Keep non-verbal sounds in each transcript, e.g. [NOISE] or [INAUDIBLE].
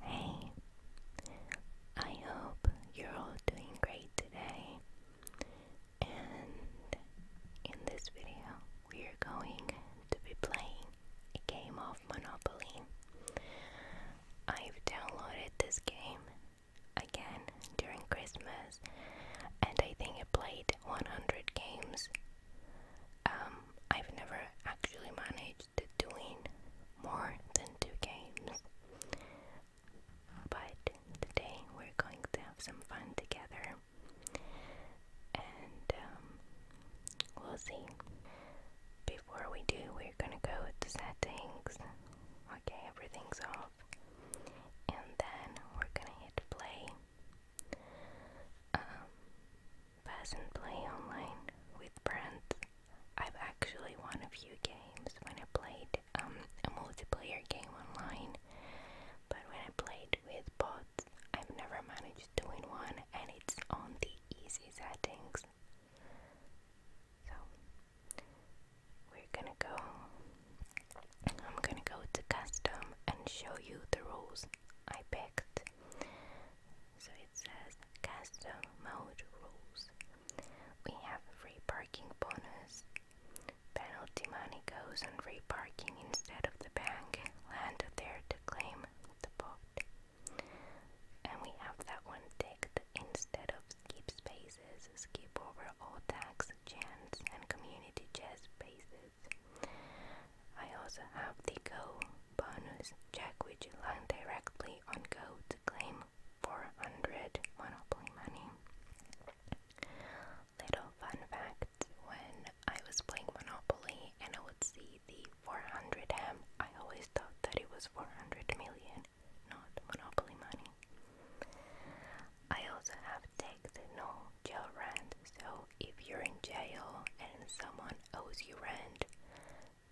Hey, I hope you're all doing great today. And in this video, we are going to be playing a game of Monopoly. I've downloaded this game again during Christmas, and I think I played 100 games. Um, I've never actually managed doing more than two games. But today we're going to have some fun together and um, we'll see. Before we do, we're gonna go with the settings. Okay, everything's off. And then we're gonna hit play. Um, Peasant Play Online with brands. I've actually won a few games when I played um, a multiplayer game online, but when I played with bots, I've never managed to win one, and it's on the easy settings. So we're gonna go. I'm gonna go to custom and show you the rules I picked. So it says custom mode rules. We have free parking bonus. Penalty money goes on free parking instead of the bank. Land there to claim the pot. And we have that one ticked instead of skip spaces, skip over all tax, chance, and community chess spaces. I also have the go Bonus, check which land directly on Go to claim 400 Monopoly money. Little fun fact, when I was playing Monopoly and I would see the 400M, I always thought that it was 400 million, not Monopoly money. I also have tagged no jail rent, so if you're in jail and someone owes you rent,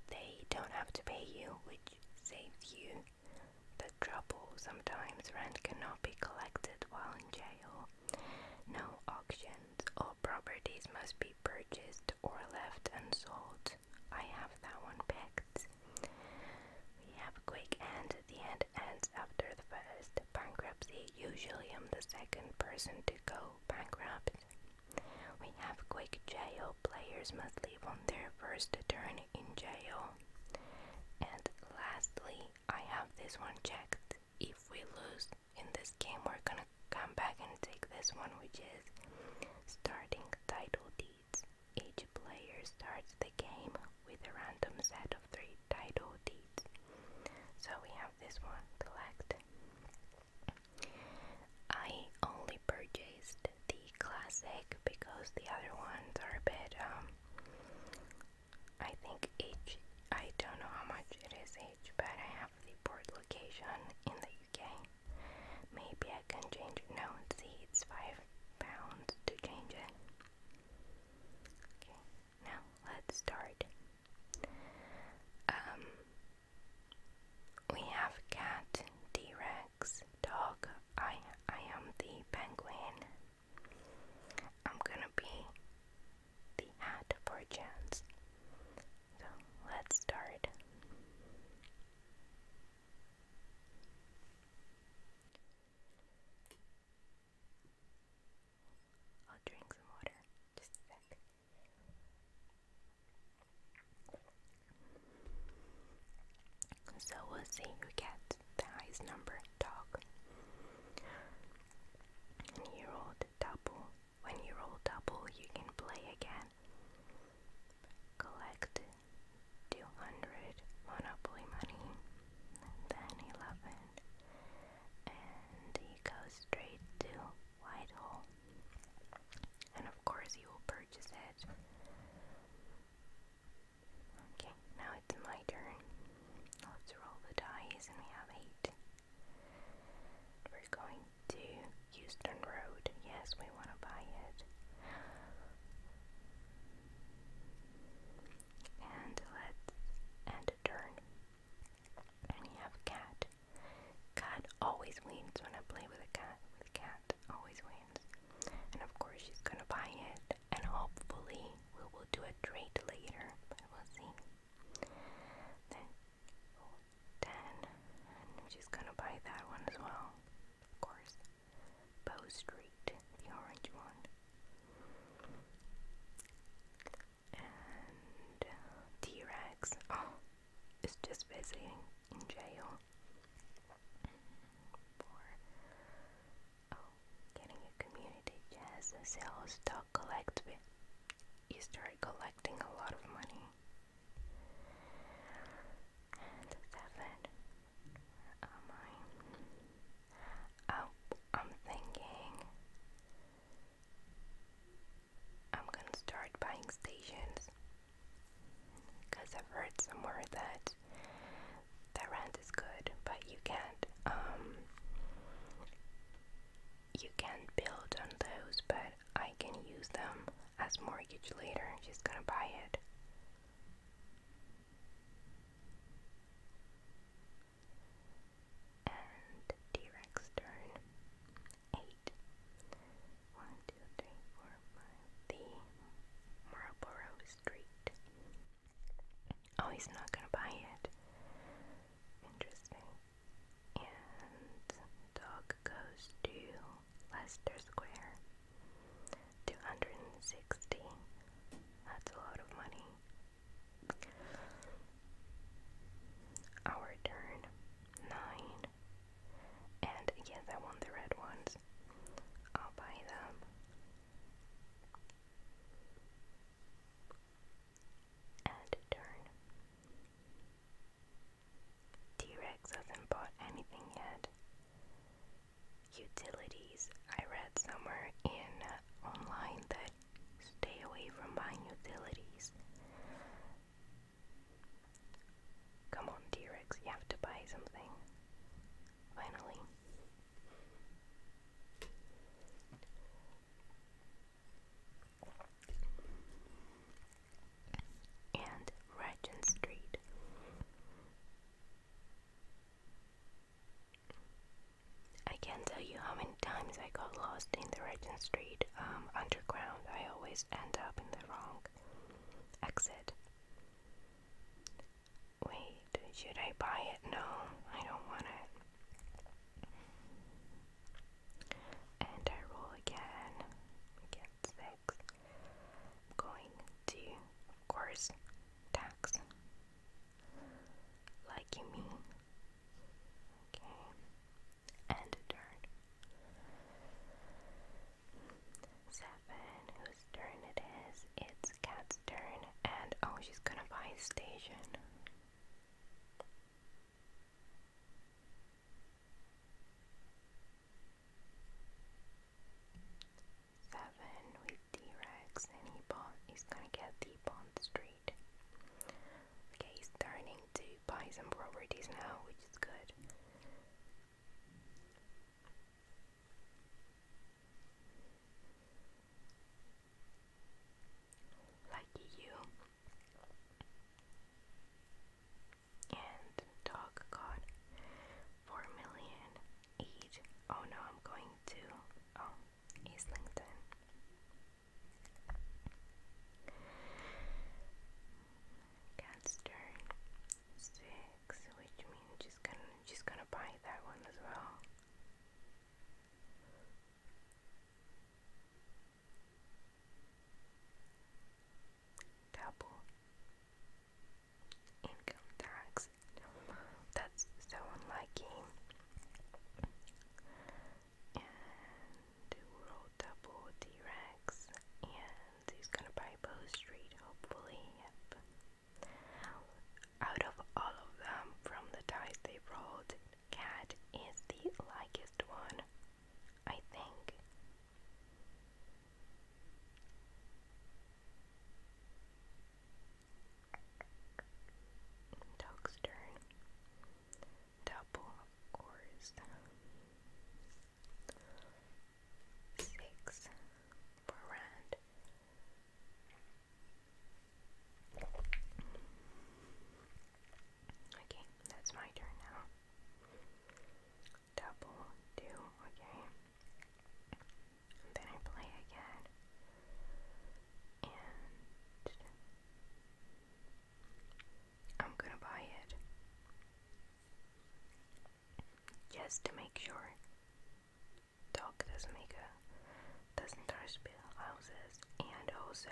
they don't have to pay you, which saves you the trouble. Sometimes rent cannot be collected while in jail. No auctions. All properties must be purchased or left unsold. I have that one picked. We have quick end. The end ends after the first bankruptcy. Usually, I'm the second person to go bankrupt. We have quick jail. Players must leave on their first turn in jail. And lastly, I have this one checked. If we lose in this game, we're gonna come back and take this one, which is starting title deeds. Each player starts the game with a random set of three title deeds. So we have this one, collected. I only purchased the classic because the other ones are a bit, um, I think H. don't know how much it is H. but I have the port location in the UK. Maybe I can change it now and see it's five pounds to change it. Okay, now let's start. Um, we have cat, T Rex, dog. I I am the penguin. I'm gonna be the hat for chance. So let's start. I'll drink some water. Just a sec. So we'll see who gets the highest number dog. And you rolled double. When you roll double, you can play again. Collect 200 Monopoly money, then 11. And he goes straight to Whitehall. And of course, you will purchase it. Okay, now it's my turn. Let's roll the dice, and we have eight. We're going to Houston Road. Yes, we want to buy it. And let's end a turn. And we have cat. Cat always wins when I play with a cat. The cat always wins. And of course she's gonna buy it. And hopefully we will do a trade later. But we'll see. Then oh, ten. she's gonna buy that one as well. Of course. Bow Street, the orange one. And uh, T-Rex. Oh, it's just fascinating in jail for oh, getting a community jazz and sell stock you start collecting a lot of money and seven uh, oh, I'm thinking I'm gonna start buying stations because I've heard somewhere that the rent is good, but you can't um you can't build on those, but I can use them as mortgage later. She's gonna buy it. And T Rex turn. Eight. One, the Marlborough Street. Oh, he's not gonna buy it. Interesting. And dog goes to Leicester Square. Two hundred and sixty. That's a lot of money. Our turn. Nine. And yes, I want the red ones. I'll buy them. And turn. T-Rex hasn't bought anything yet. Utilities. I read somewhere in uh, online that stay away from buying utilities. Come on, T-Rex, you have to buy something. Finally. And Regent Street. I can't tell you how many times I got lost in the Regent Street um, underground. I always end up in the wrong Exit. Wait, should I buy it? No, I don't want it. And I roll again. Get 6 going to, of course, tax. Like you mean. Okay and turn. Seven, whose turn it is? It's Cat's turn, and oh, she's gonna buy station. Seven with t and he bought. He's gonna get the Bond Street. Okay, he's turning to buy some properties now, which is good. Like you. And dog got four million each. Oh no, I'm going to oh Islington. Cat's Six, which means she's gonna she's gonna buy that one as well. Double income tax. That's so unliking. And the double T Rex and He's gonna buy Bow Street, hopefully. Out of all of them, from the dice they rolled, Cat is the likeliest one, I think. Dog's turn. Double, of course six for round. Okay, that's my turn now. Double, two, okay. then I play again. And I'm gonna buy it. Just to make sure. Dog doesn't make a doesn't touch build houses and also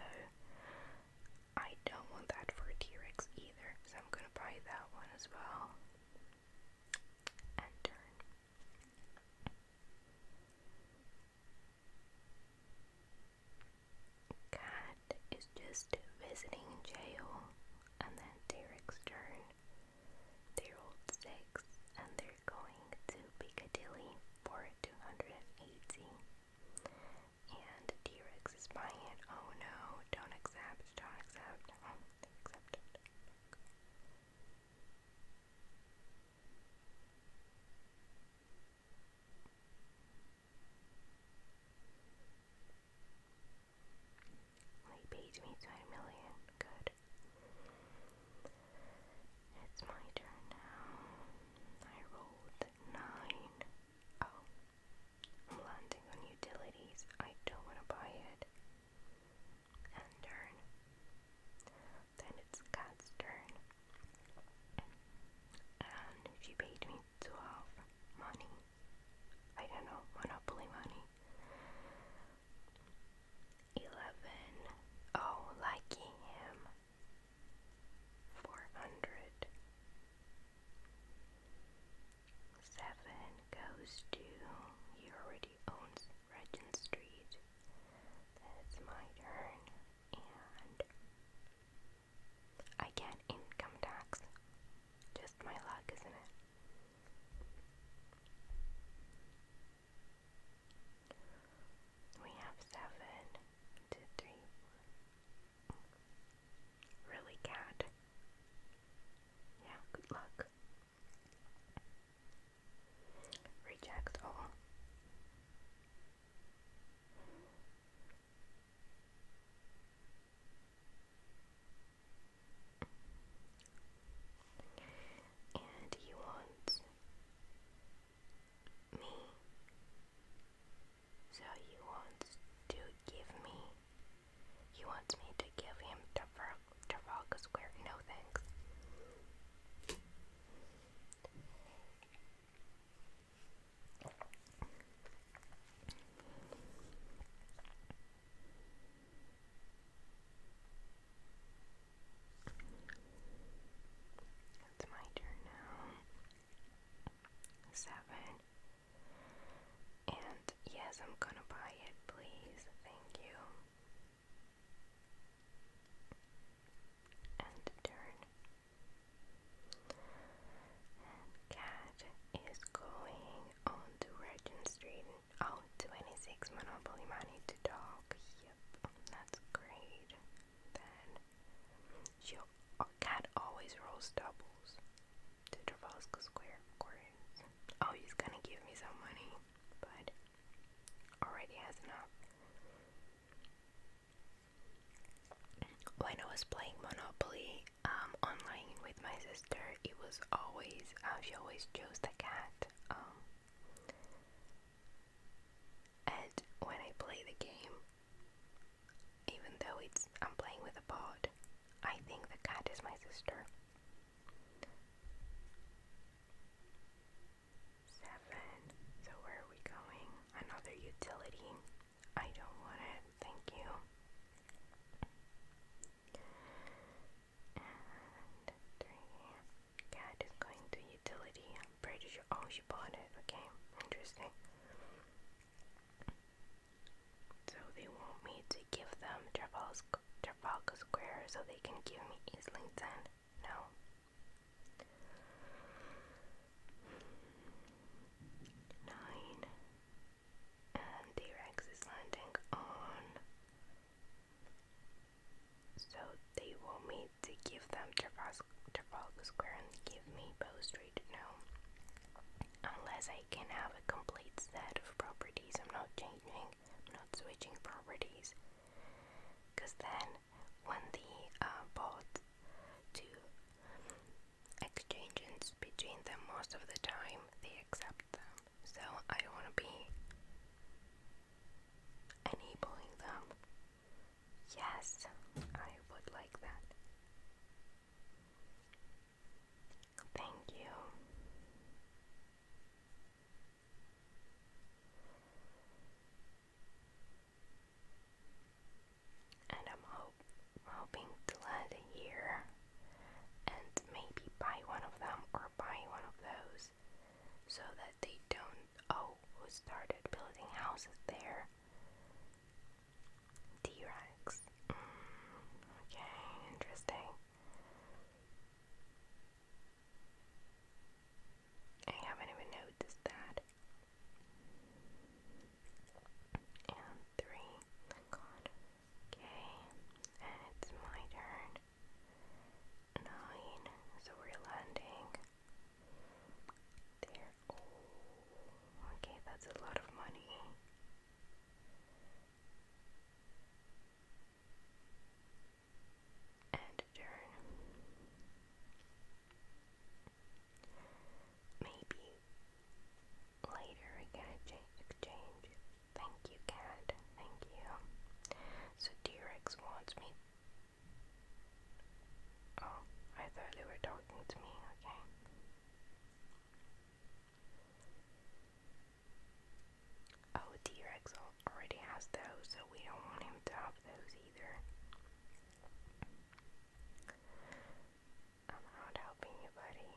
I don't want that for T-Rex either, so I'm gonna buy that one as well. And Cat is just visiting jail, and then Derek's turn. They're old six, and they're going to Piccadilly for 280. And t is buying it. Oh no, don't accept, don't accept. Oh, they accepted he pays me twenty million. Good. It's my turn now. I rolled nine. Oh, I'm landing on utilities. I don't want to buy it. And turn. Then it's Cat's turn. And she paid me twelve money. I don't know, Monopoly money. Eleven. Oh, liking him. Four hundred. Seven goes to. He already owns Regent Street. That's my turn. And I get income tax. Just my luck, isn't it? We have seven, two, three. Really, cat? Yeah, good luck. Reject all. And you want me. So you want to give me. You want me to give him Trafal Square. No thanks. It's my turn now. Seven. And yes, I'm gonna buy it, please. Thank you. And turn. Cat is going on Regent Street, oh, Monopoly Money to talk. Yep, that's great. Then uh, Cat always rolls doubles to Trafalgar Square, Oh, he's gonna give me some money, but already has enough when I was playing Monopoly um, online with my sister, it was always uh, she always chose the cat. Um, and when I play the game, even though it's I'm playing with a pod, I think the cat is my sister. Seven. So where are we going? Another utility. I don't want it, thank you. And three, cat going to utility. I'm pretty sure. Oh, she bought it. Okay, interesting. So they want me to give them Trafalgar, Trafalgar Square so they can give me Islington. No. Nine. And T-Rex is landing on. So they want me to give them Trafalgar Square and give me Bow Street. No. Unless I can have a complete set of properties, I'm not changing, I'm not switching properties. Because then when the uh, bot to exchanges between them most of the time they accept them. So I want to be enabling them. Yes, I would like that. Thank you and I'm hoping to land here and maybe buy one of them or buy one of those so that they don't oh who started building houses there T-Rex mm, okay interesting I haven't even noticed that and three. Okay, and it's my turn. Nine. So we're landing there. Oh. okay, that's a lot of money. And turn. Maybe later we exchange. Thank you, cat. Thank you. So t wants me. Oh, I thought they were talking to me. Okay. Oh, t already has those, so we don't want him to have those either. I'm not helping you, buddy.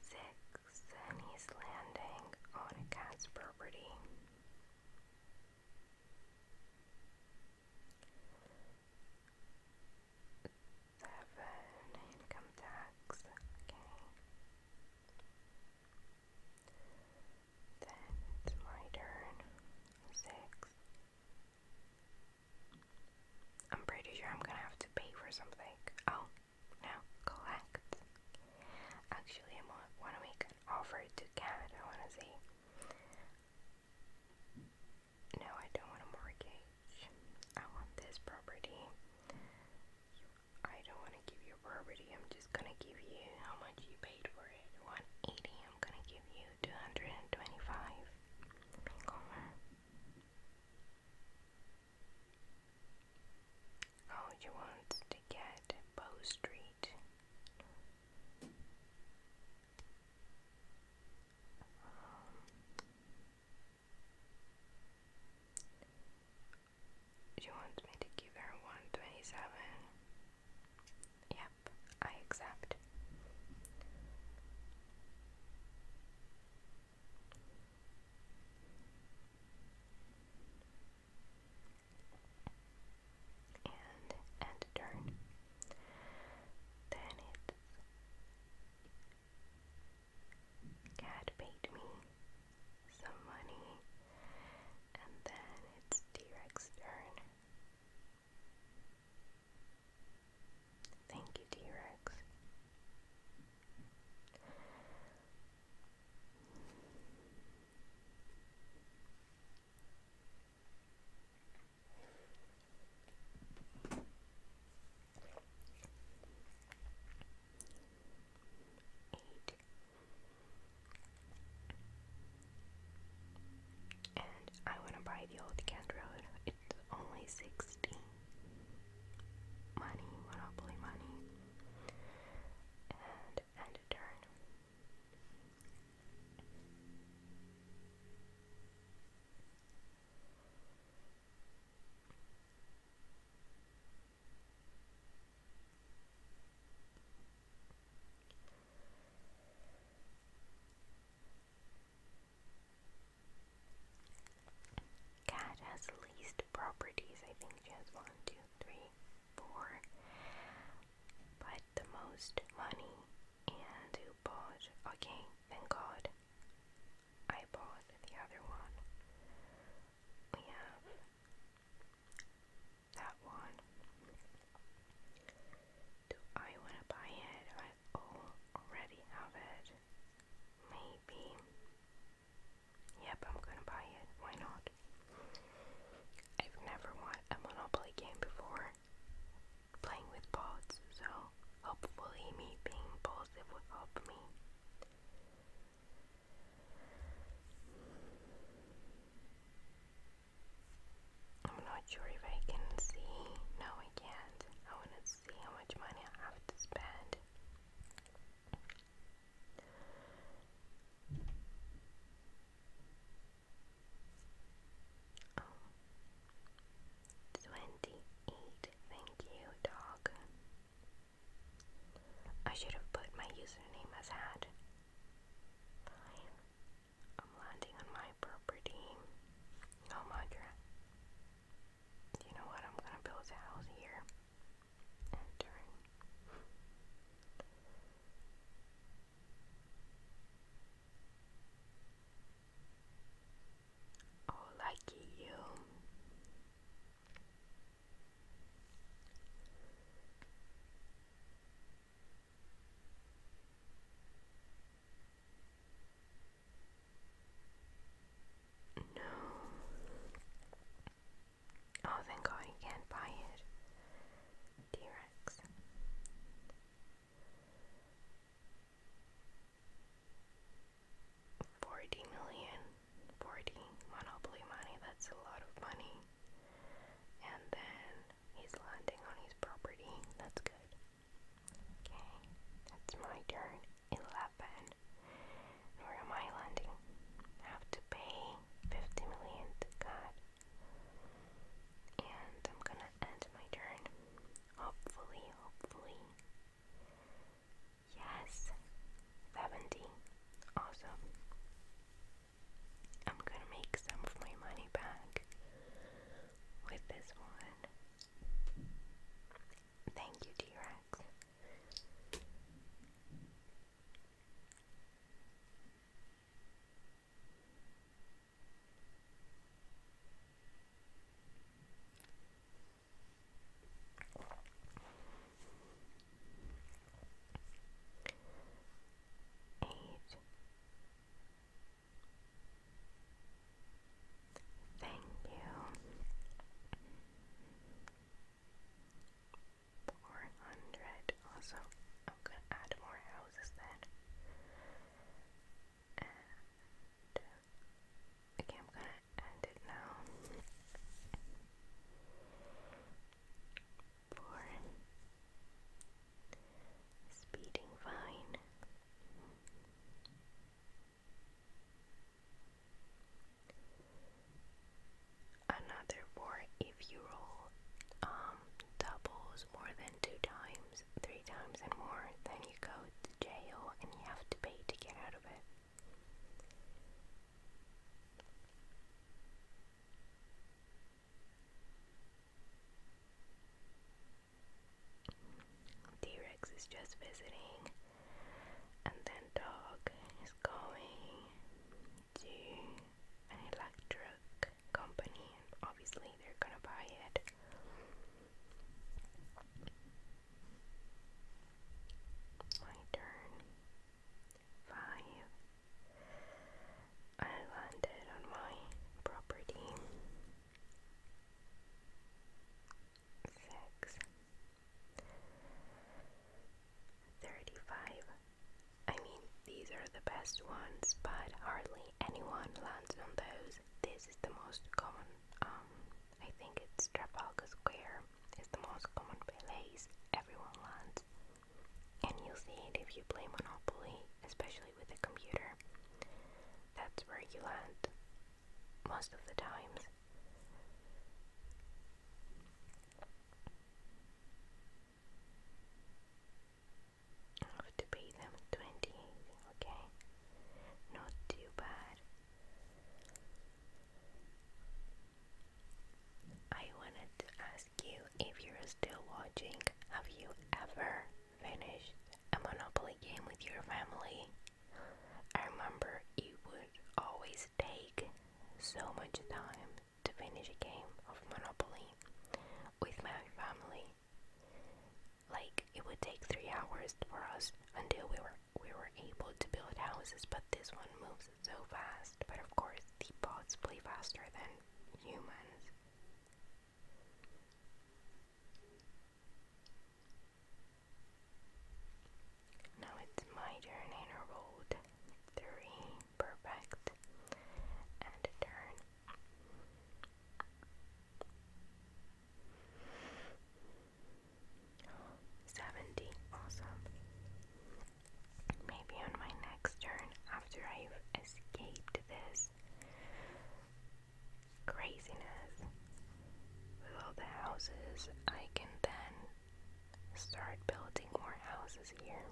Six, he's landing on cat's property. Seven, income tax, okay. Then it's my turn. Six. I'm pretty sure I'm gonna have to pay for something. Oh, no, collect. Actually, I want to make an offer to Canada. I want to see. No, I don't want a mortgage. I want this property. I don't want to give you property. I'm just gonna give you how much you paid for it. 180. I'm gonna give you 225. Oh, you want to get Bow Street. Um, she wants me to give her 127. Yep, I accept. And end turn. Then it's cat bait me some money, and then it's T-Rex turn. Thank you, T-Rex. Eight. And I want to buy the old Candroid. It's only 16 money, monopoly money. And end a turn. Cat has least properties. I think she has one, two, three, four. But the most money and who bought okay, thank God. I bought the other one. We have that one. Do I want to buy it? I already have it. Maybe. Yep, I'm gonna buy it. Why not? I've never won a Monopoly game before playing with bots, so hopefully, me being positive will help me. I'm not sure if I can see. No, I can't. I want to see how much money I have to spend. 28. Thank you, dog. I should have put my username as hat. I'm landing on my property. No oh, mudra. You know what? I'm gonna build a house here. Oh, lucky you. No. Oh, thank God he can't buy it. T Rex. Forty million. Forty monopoly money. That's a lot of money. And then he's landing on his property. That's good. Okay, that's my turn. 11. Where am I landing? have to pay 50 million God. And I'm gonna end my turn. Hopefully, hopefully. Yes! 70. Awesome. I'm gonna make some of my money back with this one. Thank you, T Rex eight, thank you four hundred also I'm gonna add more houses then uh, and uh, I'm gonna end it now for speeding fine. Another four if you roll um, doubles more than two times, three times and more, then you go to jail and you have to pay to get out of it. T-Rex is just visiting, and then dog is going to an electric company, and obviously they're gonna buy it. My turn five I landed on my property Thirty-five. I mean these are the best ones but hardly anyone lands on those this is the most common um I think it's Trafalgar Square is the most common place everyone lands and you'll see it if you play Monopoly, especially with a computer. That's where you land most of the times. have to pay them 20, okay? Not too bad. I wanted to ask you if you're still watching. Have you ever finished a Monopoly game with your family? I remember you would always take so much time to finish a game of Monopoly with my family. Like it would take three hours for us until we were we were able to build houses, but this one moves so fast, but of course the bots play faster than humans. Now it's my turn in a Three, perfect. And turn. [GASPS] Seventy, awesome. Maybe on my next turn, after I've escaped this craziness with all the houses, I can then start building more houses here.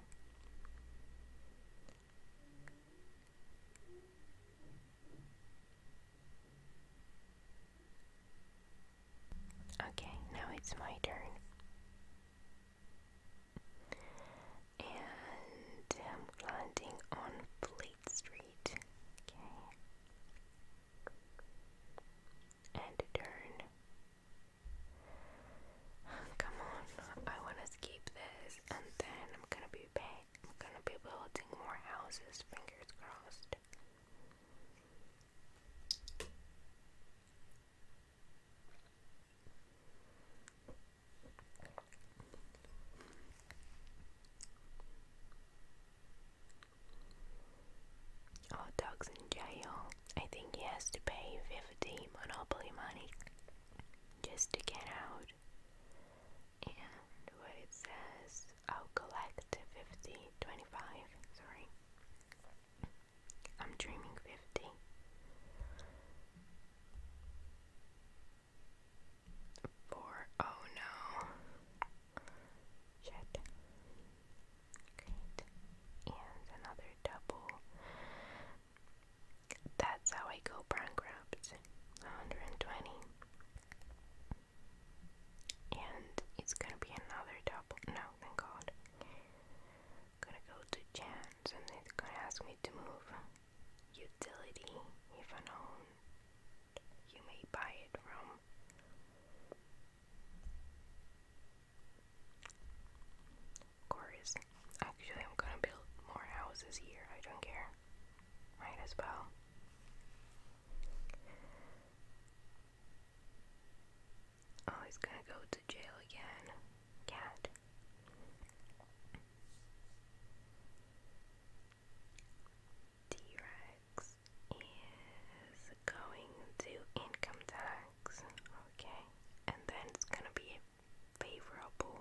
Okay, now it's my turn and I'm landing on Fleet Street. Okay. And turn. Come on, I want to escape this, and then I'm gonna be back. I'm gonna be building more houses, fingers crossed. Oh, dog's in jail. I think he has to pay 50 monopoly money just to get out. And what it says, I'll collect 50, sorry. I'm dreaming 50. Oh no. Shit. Great. And another double. That's how I go bankrupt. 120. And it's gonna be another double. No, thank God gonna go to chance and they're gonna ask me to move utility if unknown. You may buy it from. Of actually, I'm gonna build more houses here. I don't care. Might as well. Oh, it's gonna go to jail again. Cat. T is going to income tax. Okay. And then it's gonna be favorable.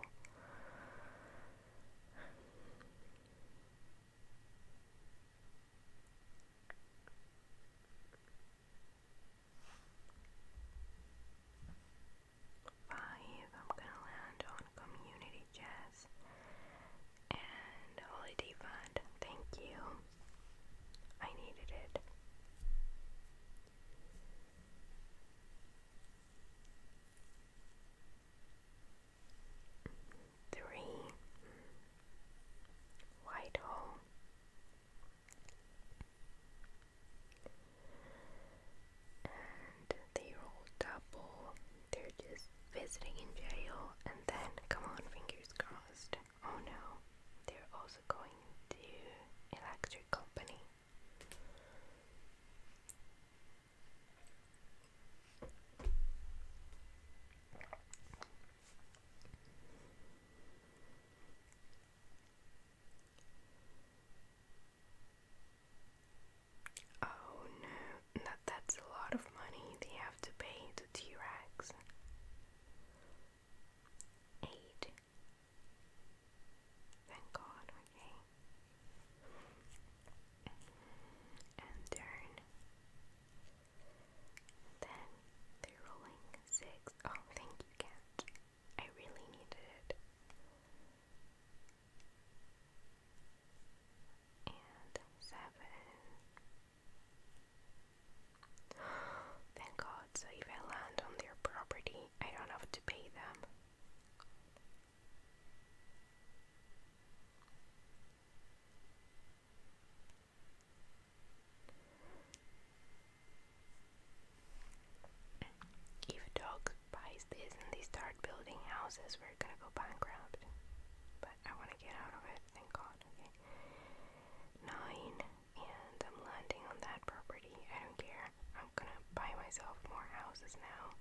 Five, I'm gonna land on community jazz and holiday fund. Thank you. I needed it. Three Whitehall and they roll double. They're just visiting in jail. And then, come on, fingers crossed. Oh no, they're also going to electric company. Oh no, that, that's a lot of money they have to pay to T Rex. 8. Thank God, okay. And turn. Then they're rolling 6. Oh, thank you, cat. I really needed it. And seven. Thank God, so if I land on their property, I don't have to pay them. If a dog buys this and they start building houses, we're gonna go bankrupt. But I wanna get out of it, thank God, okay? Nine, and I'm landing on that property. I don't care. I'm gonna buy myself more houses now.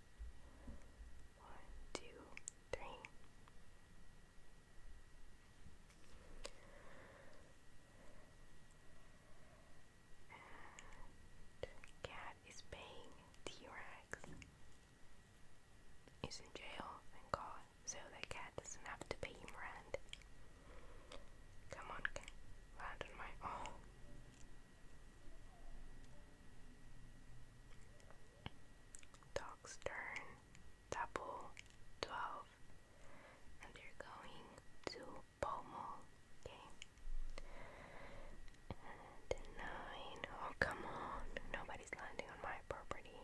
One, two, three. And cat is paying T-Rex. Is in jail, thank God, so that cat doesn't have to pay rent. Come on, land on my oh. Dog's turn. Double twelve they're going to Pomo, okay? nine. Oh, come on. Nobody's landing on my property.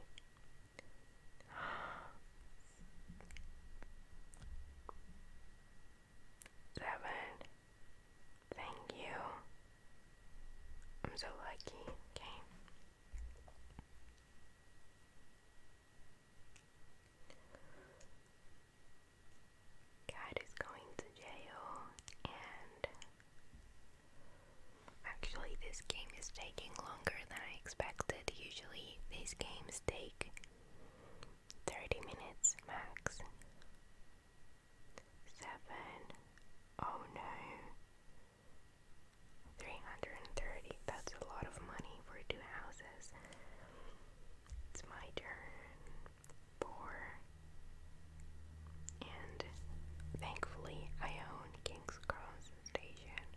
[GASPS] Seven. Thank you. I'm so lucky, okay? Cat is going to jail, and actually, this game is taking longer than I expected. Usually, these games take 30 minutes max. Seven. Oh no. 330. That's a lot of money for two houses. It's my turn. Four. And thankfully, I own King's Cross Station.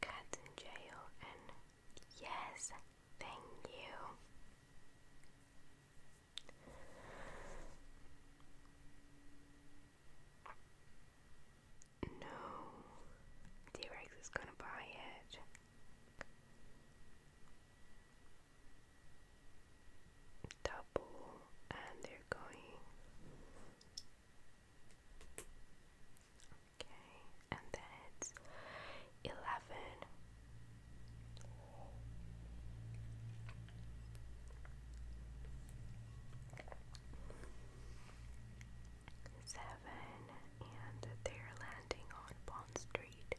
Cat's in jail, and yes, thank you. No, T is gonna buy it. Double, and they're going. Okay, and then it's eleven Seven, and they're landing on Bond Street.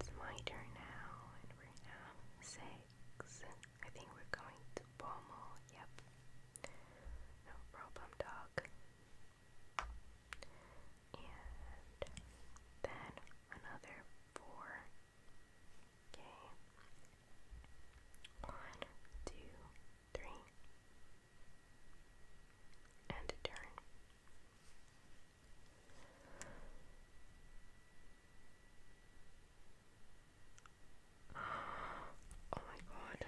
It's my turn now, and we're now six. I think we're going to Pommel. Yep. No problem, dog and then another four. Okay. One, two, three. And turn. Oh my god,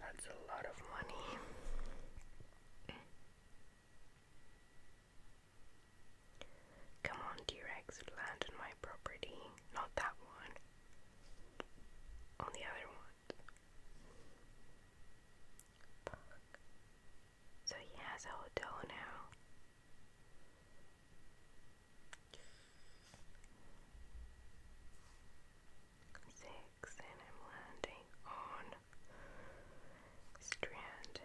that's a lot of money. Come on, dear rex land on my property. Not that one. On the other one. So he has a hotel now. Six, and I'm landing on strand.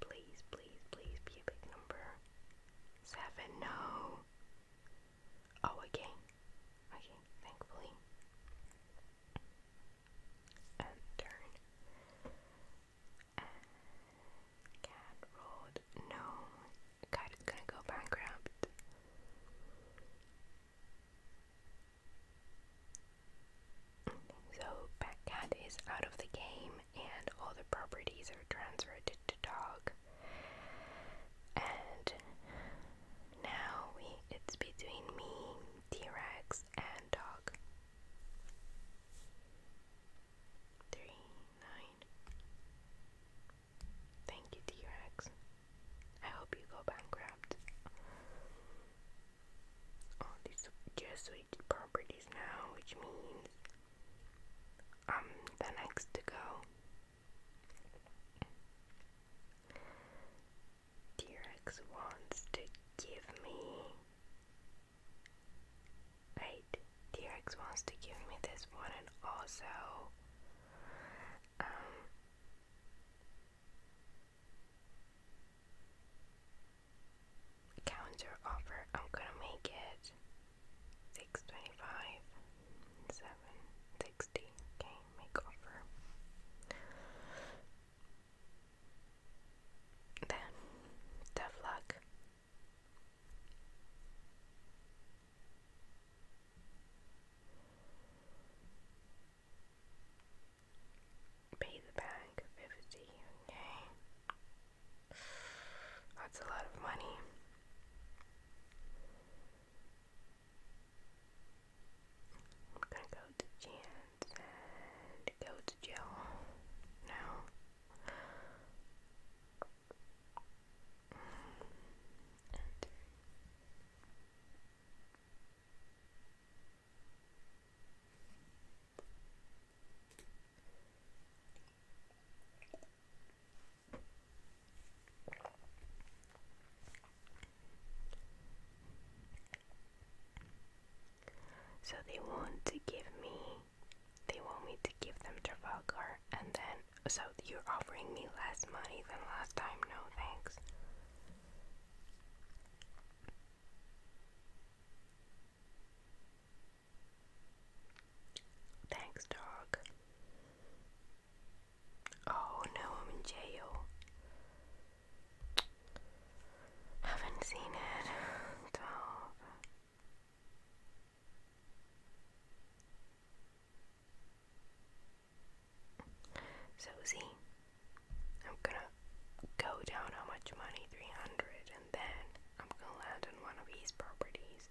Please, please, please be a big number. Seven, no. Oh, okay. Okay, thankfully. turn. And No. Cat is gonna go bankrupt. So Batcat is out of the game and all the properties are transferred to, Dog. And now it's between me, T-Rex, and Dog. Three, nine. Thank you, T-Rex. I hope you go bankrupt all oh, these Jesuit properties now, which means i um, the next to go. T-Rex wants to give me. Wait, T-Rex wants to give me this one and also um, Counter offer. I'm gonna make it six twenty-five, seven sixty. Okay, make offer. Then tough luck. Pay the bank 50, okay. That's a lot of money. I'm gonna go to Chance so they want to give me, they want me to give them Trafalgar, and then, so you're offering me less money than last time? No thanks. Thanks, dog. Oh no, I'm in jail. Haven't seen it. So see, am gonna go down how much money, 300, and then I'm gonna land on one of these properties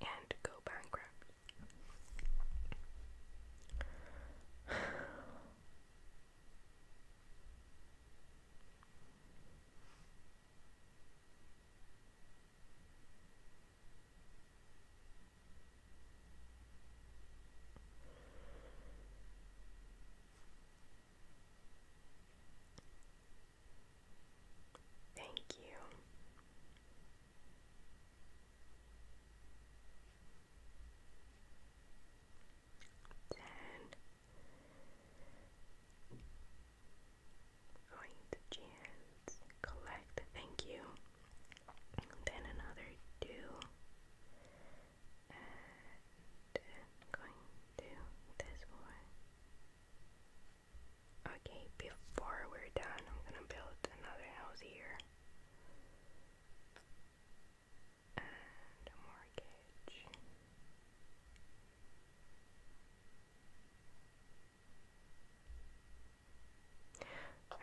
and go bankrupt. Thank you. Ten. Going to Collect. Thank you then another two, going to this one. Okay, before we're done, I'm gonna build another house here. And a mortgage.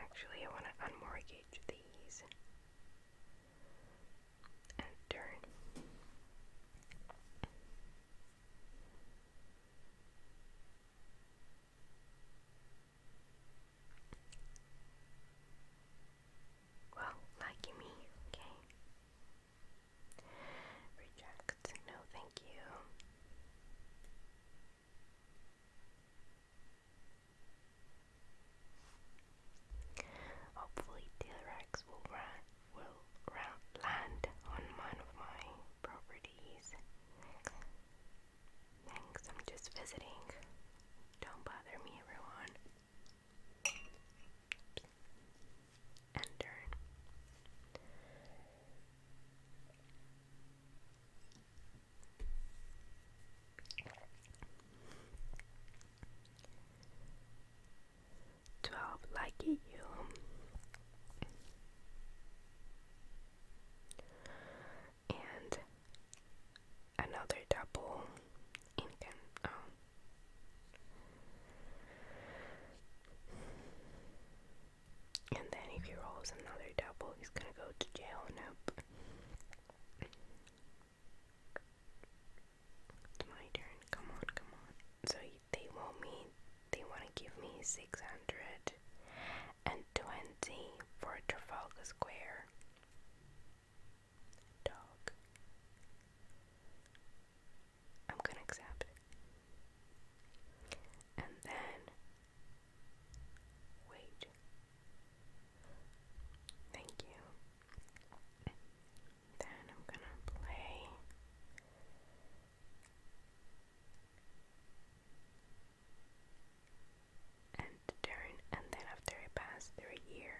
Actually, I want to unmortgage these and Well, lucky me, okay. Reject. No, thank you. Hopefully, T-Rex will, land on one of my properties. Thanks, I'm just visiting. Don't bother me, everyone. And Twelve lucky you. And another double um, And then if he rolls another double, he's gonna go to jail. Nope. It's my turn. Come on, come on. So they want me. They want to give me six hundred and twenty for Trafalgar Square. Dog. I'm gonna accept And then wait. Thank you. Then I'm gonna play. And turn, and then after I pass through a year,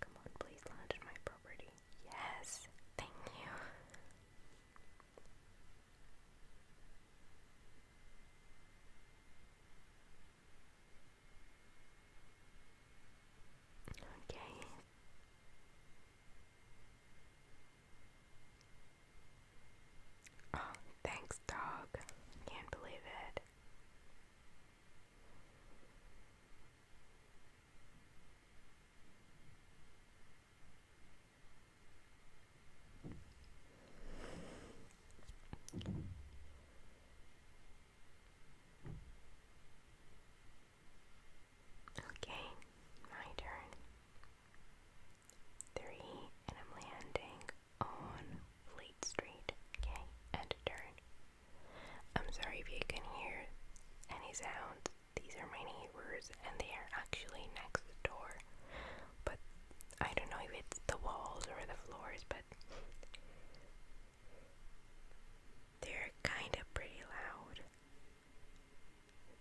come on, please land on my property. Yes, thank you. Okay. Oh, thanks, dog. Can't believe it. Okay, my turn. Three, and I'm landing on Fleet Street. Okay, and I'm sorry if you can hear any sounds. These are my neighbors, and they are actually next door but I don't know if it's the walls or the floors, but they're kind of pretty loud.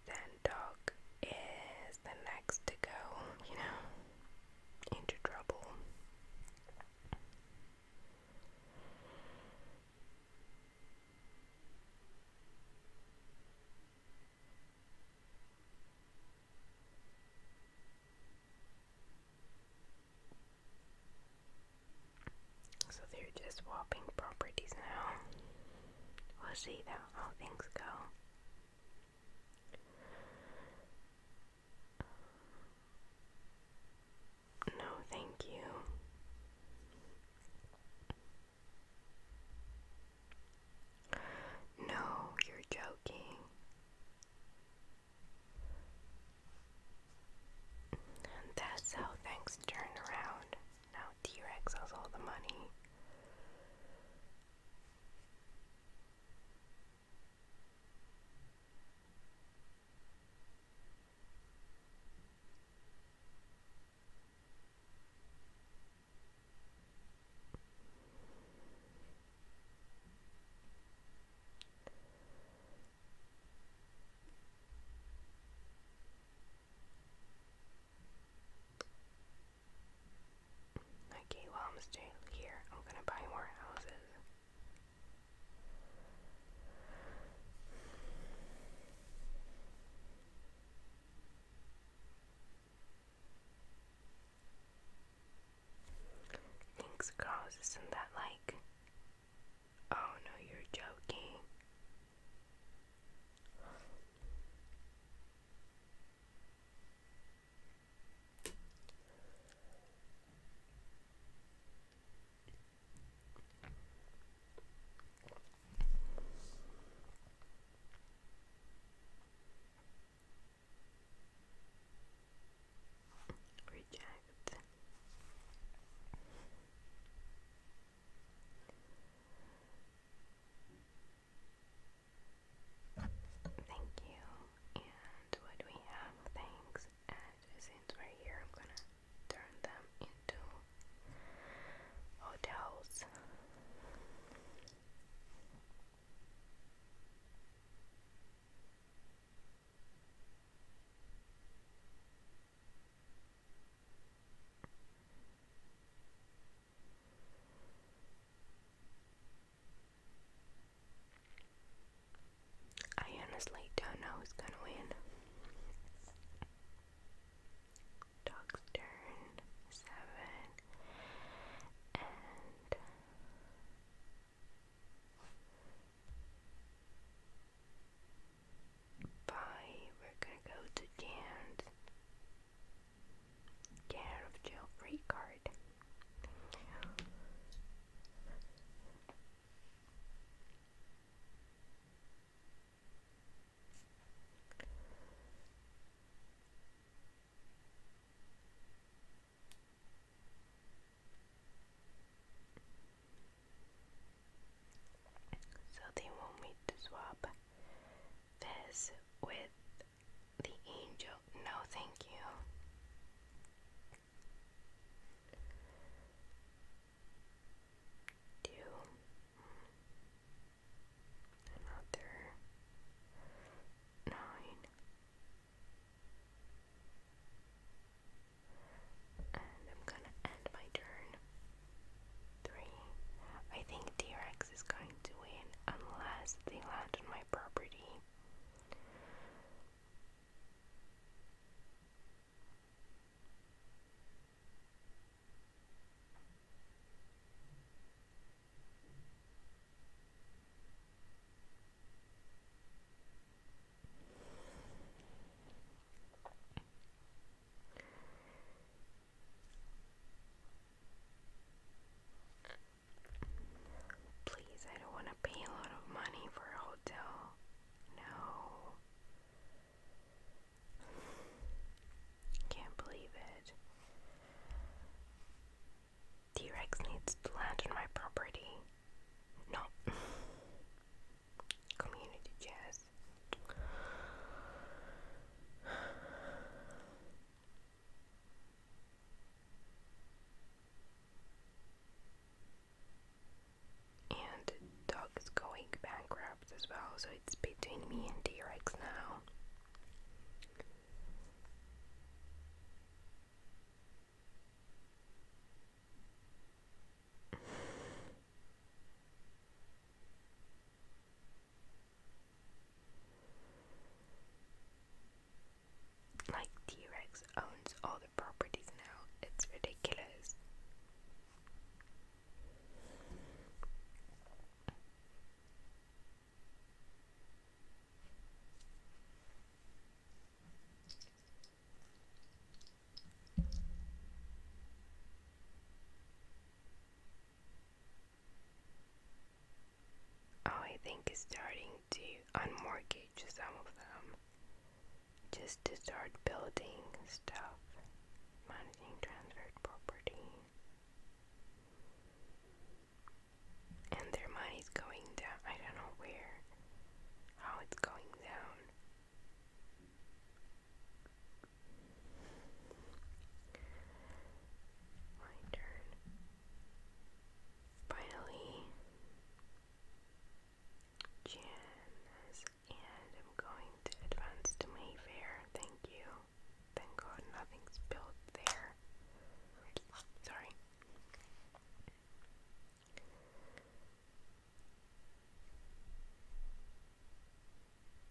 Then dog is the next to go, you know, into trouble. So they're just swapping properties now. We'll see how things go. No, thank you. No, you're joking that's how things turn around. Now T Rex has all the money. Okay, well, I'm still here. I'm gonna buy more houses. Thanks, girls. Isn't that like. Oh no, you're joking. Reject. Thank you. And what we have? Thanks. since we're here, I'm gonna turn them into hotels. I honestly don't know who's gonna win. Dog's seven and Bye. We're gonna go to Jan's care of jail card. So they want me to swap this with the angel. No, thank you. Do another nine. And I'm gonna end my turn. Three. I think T Rex is going to win unless they land on my property. Please, I don't want to pay a lot of money for a hotel. No. Can't believe it. T Rex needs to land on my property. No. [LAUGHS] Community jazz. And dog is going bankrupt as well, so it's between me and T Rex now. Like T Rex owns all the properties now, it's ridiculous. Oh, I think starting to unmortgage some of them just to start building stuff, managing transferred property and their money's going down. I don't know where, how it's going down. My turn. Finally, Janice, and I'm going to advance to Mayfair. Thank you. Thank God nothing's built there. Sorry.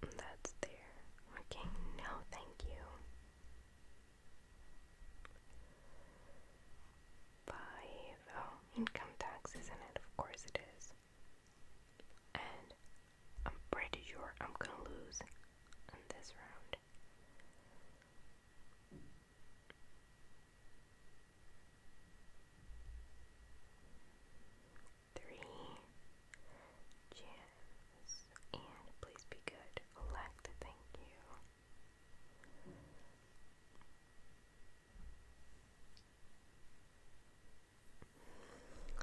That's there. Okay, no, thank you. Five. Oh, income tax, isn't it? Of course it is. And I'm pretty sure I'm gonna lose on this round. Three gems. And please be good. Elect, thank you.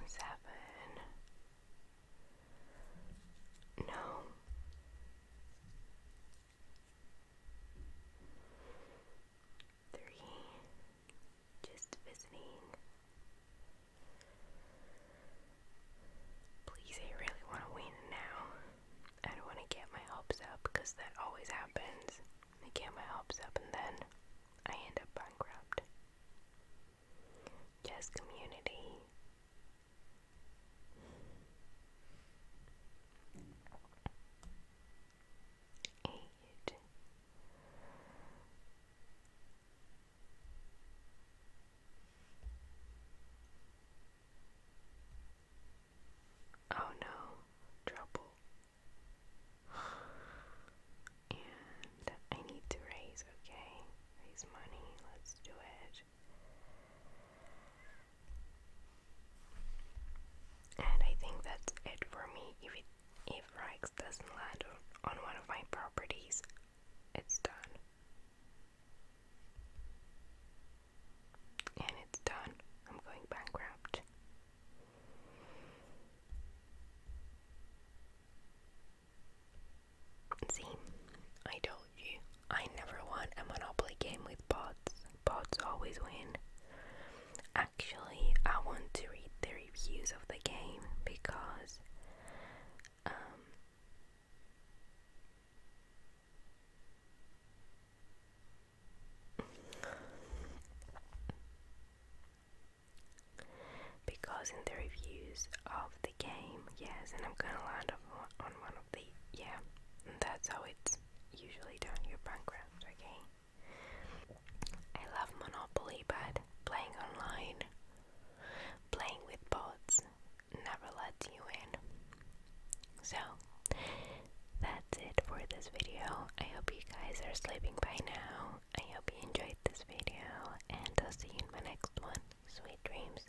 Seven. No. Three, just visiting. Please, I really want to win now. I don't want to get my hopes up because that always happens. I get my hopes up and then I end up bankrupt. Just community eight. Oh no, trouble. And I need to raise, okay? Raise money, let's do it. And I think that's it for me. If if Rex doesn't land on, one of my properties, it's done. And it's done. I'm going bankrupt. See, I told I never won a Monopoly game with bots. Bots always win. Actually, I want to read the reviews of the game because um, because in the reviews of the game, yes, and I'm gonna land on one yeah, that's how it's usually done. Your are bankrupt, okay? I love Monopoly, but playing online, playing with bots, never lets you win. So, that's it for this video. I hope you guys are sleeping by now. I hope you enjoyed this video, and I'll see you in my next one. Sweet dreams.